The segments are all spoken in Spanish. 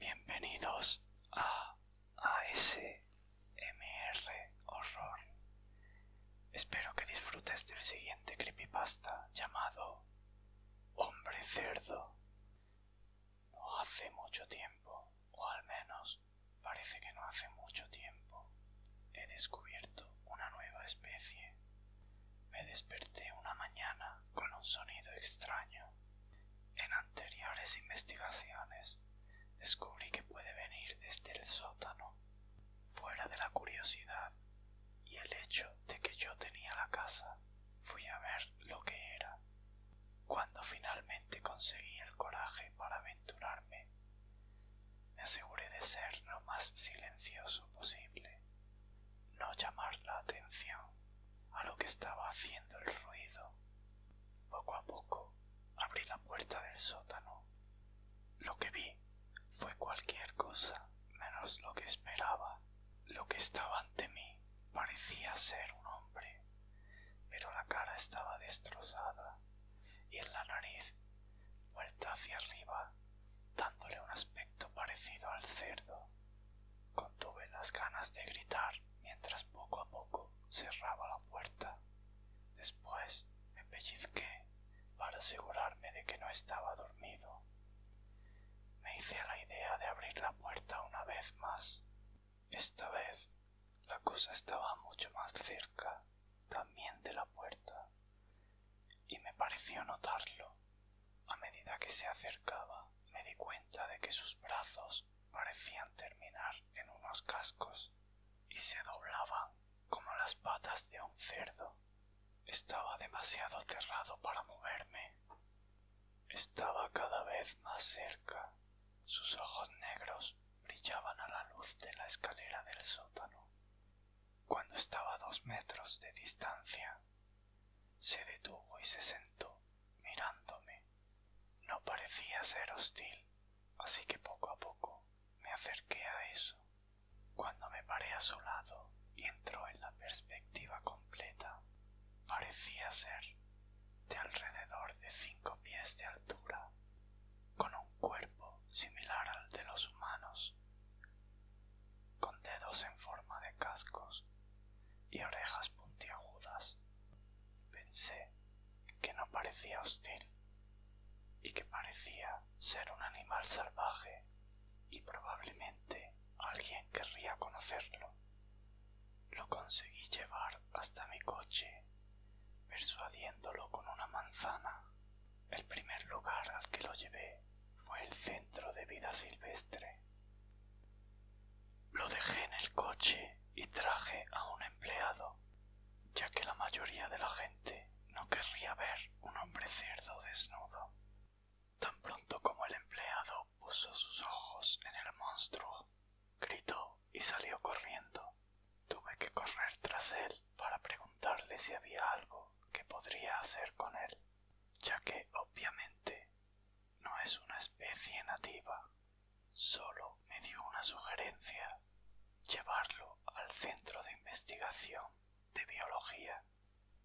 Bienvenidos a ASMR Horror. Espero que disfrutes del siguiente creepypasta llamado Hombre Cerdo. No hace mucho tiempo, o al menos parece que no hace mucho tiempo he descubierto una nueva especie. Me desperté una mañana con un sonido extraño. En anteriores investigaciones descubrí que puede venir desde el sótano, fuera de la curiosidad y el hecho de que yo tenía la casa, fui a ver lo que era. Cuando finalmente conseguí el coraje para aventurarme me aseguré de ser lo más silencioso posible, no llamar la atención a lo que estaba haciendo el ruido. Poco a poco abrí la puerta del sótano. Lo que vi fue cualquier cosa menos lo que esperaba. Lo que estaba ante mí parecía ser un hombre, pero la cara estaba destrozada y en la nariz, vuelta hacia arriba, dándole un aspecto parecido al cerdo. Contuve las ganas de gritar mientras poco a poco cerraba la puerta. Después me pellizqué para asegurarme de que no estaba dormido. Me hice la idea de abrir la puerta una vez más. Esta vez la cosa estaba mucho más cerca también de la puerta, y me pareció notarlo. A medida que se acercaba, me di cuenta de que sus brazos parecían terminar en unos cascos y se doblaban como las patas de un cerdo. Estaba demasiado cerrado para moverme. Estaba cada vez más cerca sus ojos negros brillaban a la luz de la escalera del sótano. Cuando estaba a dos metros de distancia, se detuvo y se sentó mirándome. No parecía ser hostil, así que poco a poco me acerqué a eso. Cuando me paré a su lado y entró en la perspectiva completa, parecía ser de alrededor de cinco pies de altura, con un cuerpo similar al de los humanos, con dedos en forma de cascos y orejas puntiagudas. Pensé que no parecía hostil y que parecía ser un animal salvaje y probablemente alguien querría conocerlo. Lo conseguí llevar hasta mi coche, persuadiéndolo con una manzana. El primer lugar al que lo llevé fue el centro de vida silvestre. Lo dejé en el coche y traje a un empleado, ya que la mayoría de la gente no querría ver un hombre cerdo desnudo. Tan pronto como el empleado puso sus ojos en el monstruo, gritó y salió corriendo. Tuve que correr tras él para preguntarle si había algo que podría hacer con él, ya que obviamente no es una especie nativa. Solo me dio una sugerencia, llevarlo al centro de investigación de biología,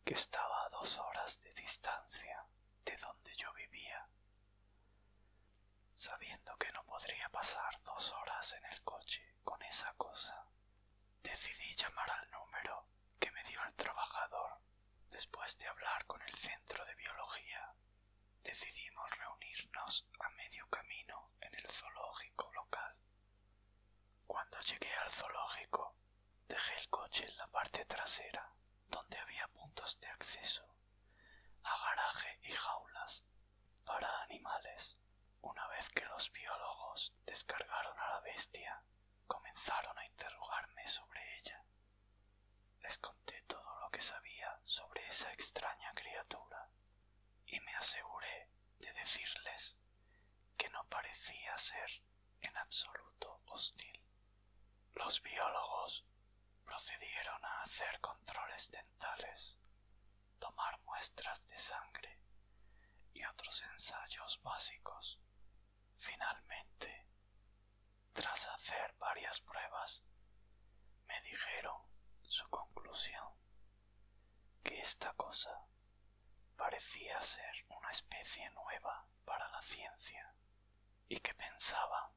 que estaba a dos horas de distancia de donde yo vivía Sabiendo que no podría pasar dos horas en el coche con esa cosa, decidí llamar al número que me dio el trabajador. Después de hablar con el centro de biología, decidimos reunirnos a medio camino en el zoológico local. Cuando llegué al zoológico, dejé el coche en la parte trasera donde había puntos de acceso a garaje y jaulas para animales. Una vez que los biólogos descargaron a la bestia, comenzaron a interrogarme sobre ella. Les conté todo lo que sabía sobre esa extraña criatura y me aseguré de decirles que no parecía ser en absoluto hostil. Los biólogos procedieron a hacer controles dentales, tomar muestras de sangre y otros ensayos básicos. Finalmente, tras hacer varias pruebas, me dijeron su conclusión, que esta cosa parecía ser una especie nueva para la ciencia y que pensaba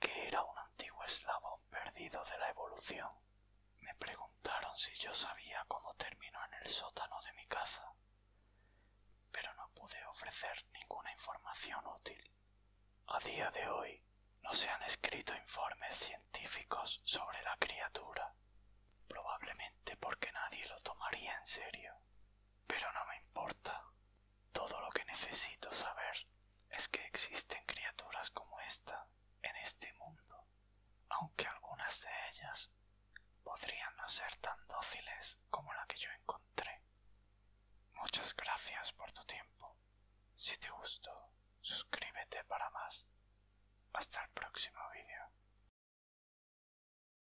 que era un antiguo eslabón perdido de la evolución. Me preguntaron si yo sabía cómo terminó en el sótano de mi casa, pero no pude ofrecer ninguna información útil. A día de hoy no se han escrito informes científicos sobre la criatura, probablemente porque nadie lo tomaría en serio. Pero no me importa. Todo lo que necesito saber es que existen criaturas como esta en este mundo, aunque algunas de ellas podrían no ser tan dóciles como la que yo encontré. Muchas gracias por tu tiempo. Si te gustó, suscríbete para más. Hasta el próximo vídeo.